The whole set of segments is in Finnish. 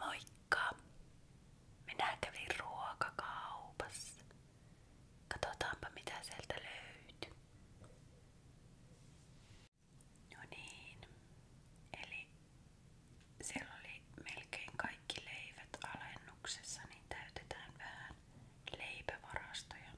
Moikka! Minä kävin ruokakaupassa. Katsotaanpa mitä sieltä löytyy. No niin, eli siellä oli melkein kaikki leivät alennuksessa, niin täytetään vähän leipävarastoja.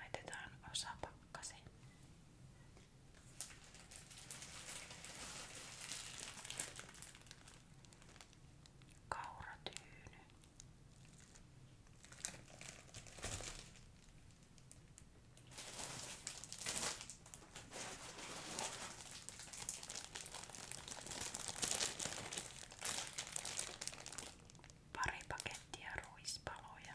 Laitetaan osa pakkaseen. Kauratyyny. Pari pakettia ruispaloja.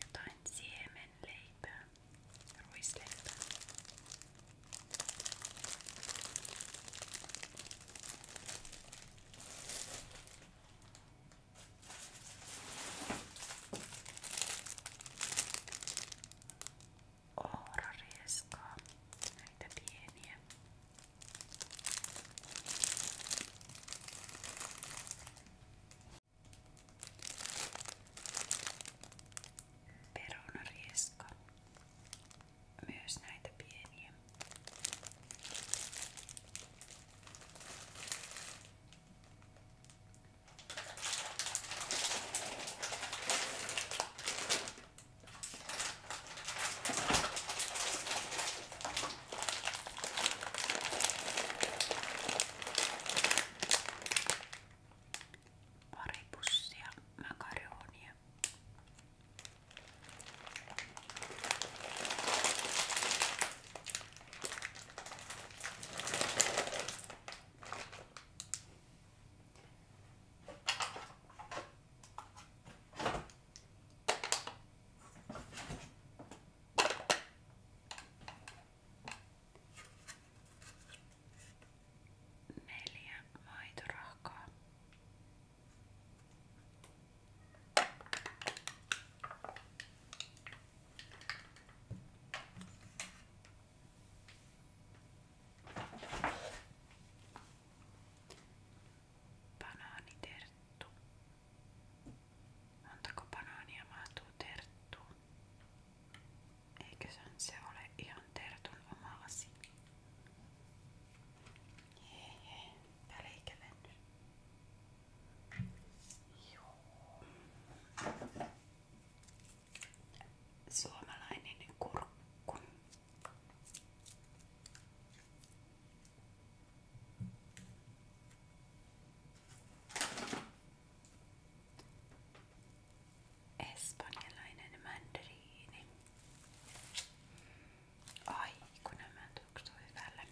Jotain siemenleipää, ruisleipää ohrarieskaa, näitä pieniä. Perunarieska, myös näitä pieniä. Pari pussia makaronia. Neljä maitorahkaa. Banaaniterttu. Montako banaania mahtuu terttuun? Eiköhän se ole ihan tertun oma asia. Hei hei, välikävennys. Joo suomalainen kurkku. Espanjalainen mandariini. Ai kun nämä tuoksuu hyvälle.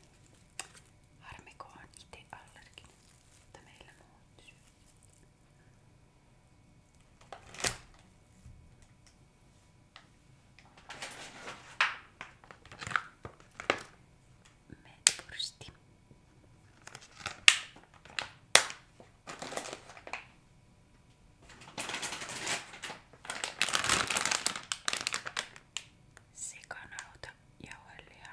Harmiko on itse allerginen mutta meillä muut syy. Metpursti. Sikanauta, jauheliha,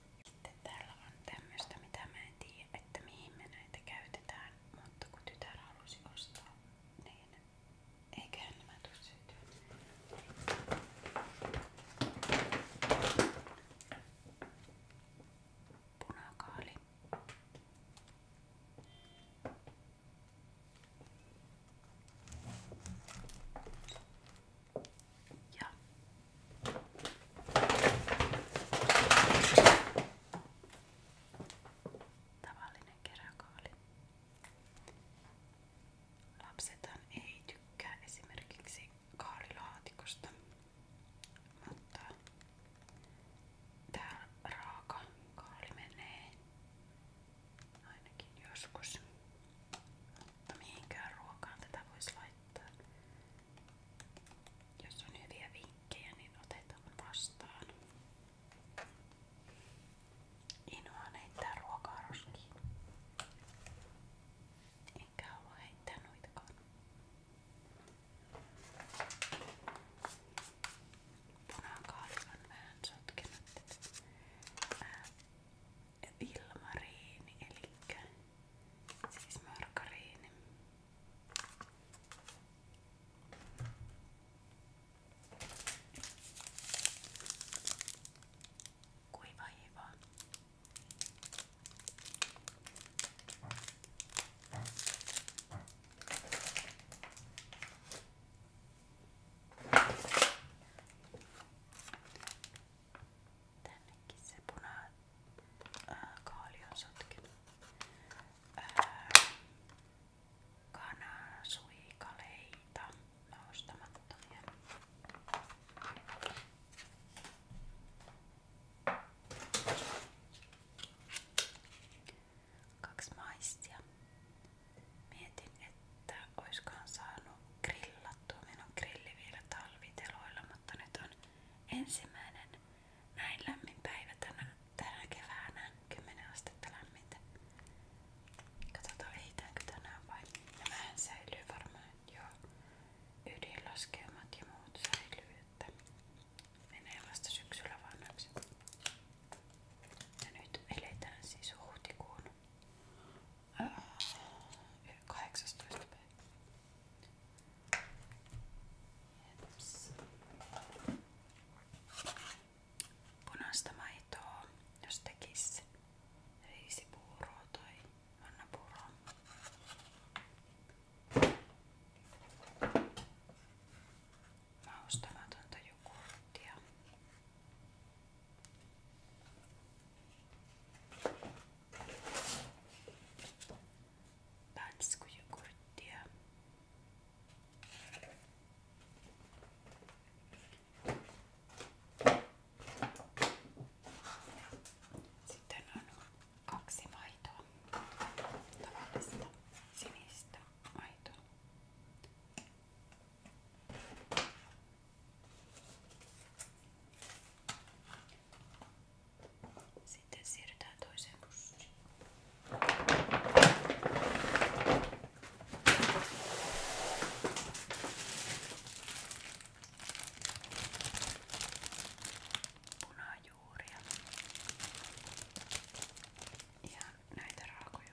Sitten täällä on tämmöstä, mitä mä en tiedä, että mihin me näitä käytetään, mutta kun tytär halusi ostaa, niin eiköhän nämä tuu syytyä. Punakaali. Ja. Tavallinen keräkaali. Lapsethan ei tykkää esimerkiksi kaalilaatikosta, mutta tää raaka kaali menee ainakin joskus. Mutta mihinkään ruokaan tätä voisi laittaa. Jos on hyviä vinkkejä, niin otetaan vastaan. Inhoan heittää ruokaa roskiin. Enkä halua heittää noitakaan. Punakaali on vähän sotkenut. Ää, ilmariini, eli siis margariini. Kuiva hiiva. Tännekin se puna ää, äh, kaali on sotkenut. Ää, äh, kanasuikaleita noustamattomia. Kaksi maistia. Mietin, että oiskaan saanut grilla kuivattua minun grilli vielä talviteloilla, mutta nyt on ensimmäinen näin lämmin päivä tänä, tänä keväänä, 10 astetta lämmintä. Katsotaan ehitäänkö tänään vai nämähän säilyy varmaan jo ydinlaskeumat ja muut säilyy, että menee vasta syksyllä vanhaksi. Ja nyt eletään siis huhtikuun 18. Jeps. Punaista maitoa, jos tekis riisipuuroa tai annapuuroa. Maustamatonta jogurttia. Панскую гурдия. Sitten on kaksi maitoa. Tavallista sinistä maitoa. Sitten siirrytään toiseen pussiin. Punajuuria. Ja näitä raakoja.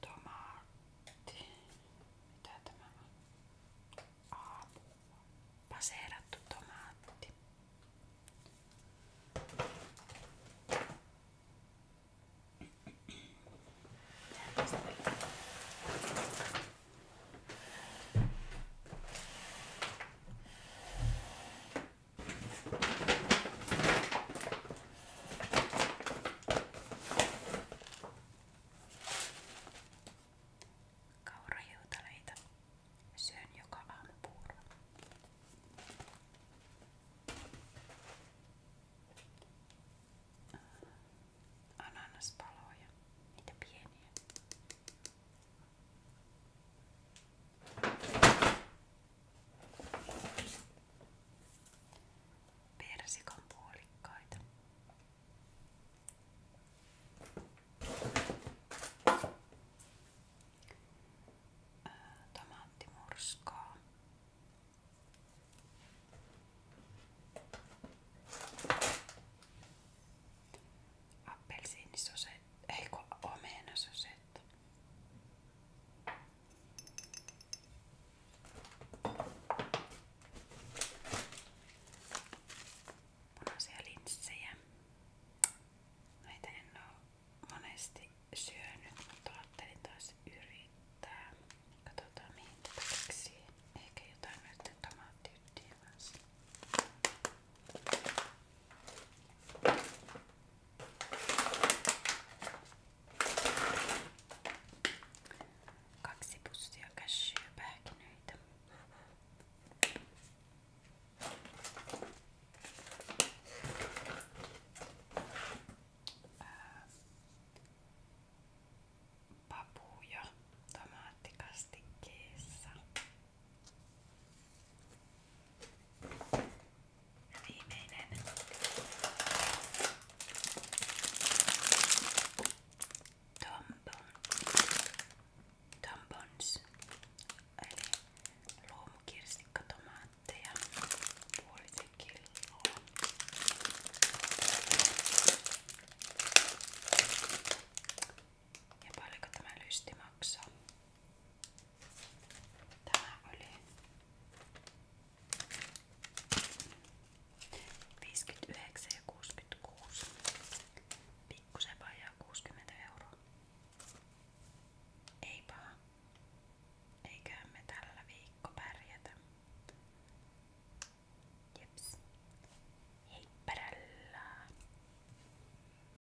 Tomaatti. Mitä tämä on? Aapua. Paseerattu tomaatti. Kaurahiutaleita syön joka aamu puuro. Ananaspaloja, niitä pieniä. Persikan puolikkaita. Tomaattimurskaa. Appelsiinisosetta, eikö omenasosetta. Punaisia linssejä. Näitä en oo monesti syönyt, mutta ajattelin taas yrittää. Katsotaan mihin tätä keksii. Ehkä jotain näiden tomaattiyhtiä kanssa. Kaksi pussia cashew-pähkinöitä. Papuja tomaattikastikkeessa. Ja viimeinen. Tompon. Tompons. Eli luomukirstikkotomaatteja. Puolisen kiloa. Ja paljonko tämä lysti maksaa? 2,99 Tämä oli 59 ja 66. Pikkusen vajaa 60 euroa. Ei paha. Eiköhän me tällä viikko pärjätä. Jeps. Hei pärällä.